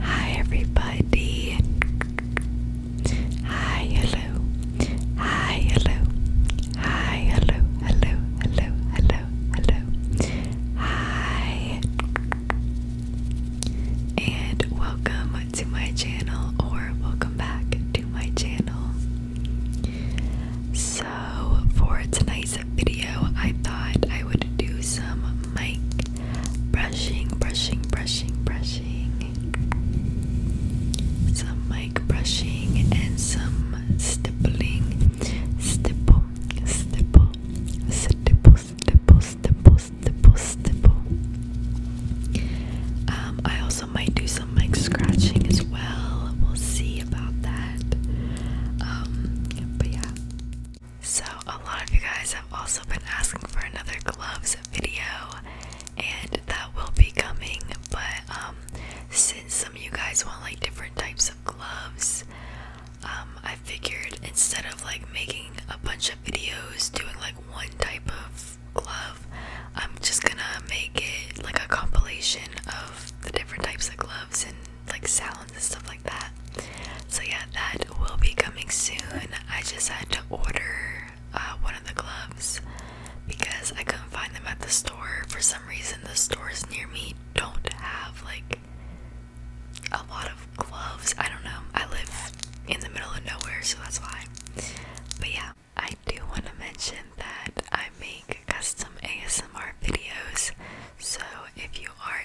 Hi, everybody. Hi, hello. Hi, hello. Hi, hello. Hello, hello, hello, hello. Hi. And welcome to my channel, or welcome back to my channel. So, for tonight's video, I thought I would do some mic brushing, brushing, brushing, brushing, some mic brushing, and some stippling, stipple, stipple, stipple, stipple, stipple, Um, I also might do some mic scratching as well. We'll see about that. Um, but yeah. So, a lot of you guys have also been asking for another gloves video, and that will be coming. But, um, since some of you guys want like different types of gloves, um, I figured instead of like making a bunch of videos doing like one type of glove, I'm just gonna make it like a compilation of the different types of gloves and like sounds and stuff like that. So yeah, that will be coming soon. I just had to order uh, one of the gloves because I couldn't find them at the store. For some reason, the stores near me don't have like a lot of gloves. I don't know. I live in the middle of nowhere, so that's why. But yeah, I do want to mention that I make custom ASMR videos. So if you are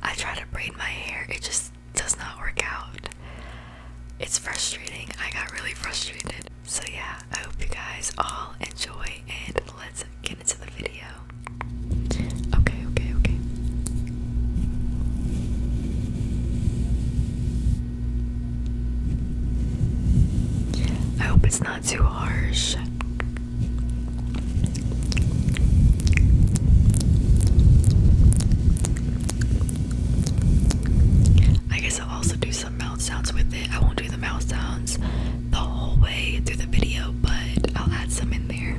I try to braid my hair, it just does not work out. It's frustrating. I got really frustrated. So, yeah, I hope you guys all enjoy and let's get into the video. Okay, okay, okay. I hope it's not too harsh. I guess I'll also do some mouth sounds with it. I won't do the mouth sounds the whole way through the video, but I'll add some in there.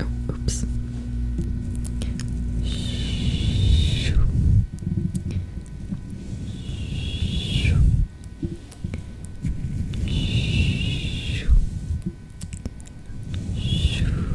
Oh, oops. Shoo. Shoo. Shoo. Shoo. Shoo.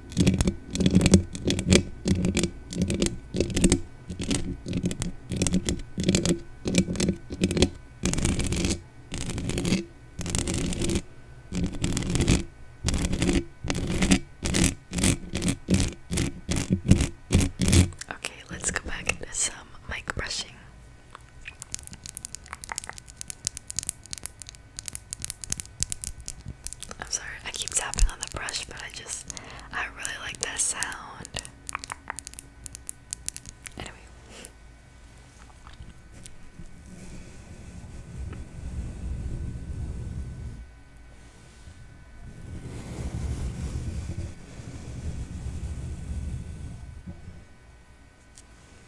Okay, let's go back into some mic brushing. I'm sorry, I keep tapping on the brush, but I just, I really like that sound. Anyway.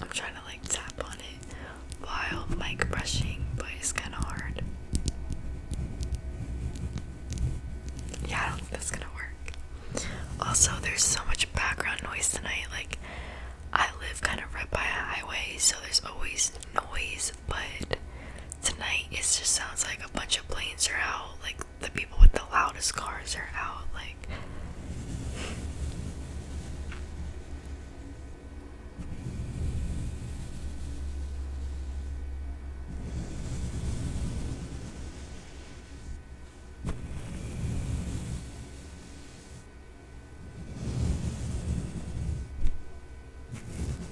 I'm trying to like tap on it while mic brushing, but it's kind of hard. Yeah, I don't think that's gonna work. Also, there's so much background noise tonight. Like, I live kind of right by a highway, so there's always noise, but tonight it just sounds like a bunch of planes are out, like the people with the loudest cars are out, like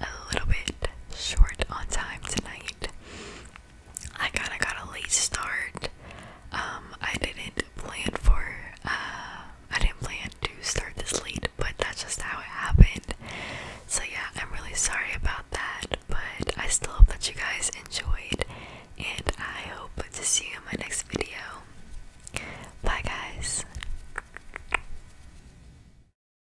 a little bit short on time tonight. I kind of got a late start. Um, I didn't plan for, uh, I didn't plan to start this late, but that's just how it happened. So, yeah, I'm really sorry about that, but I still hope that you guys enjoyed, and I hope to see you in my next video. Bye, guys.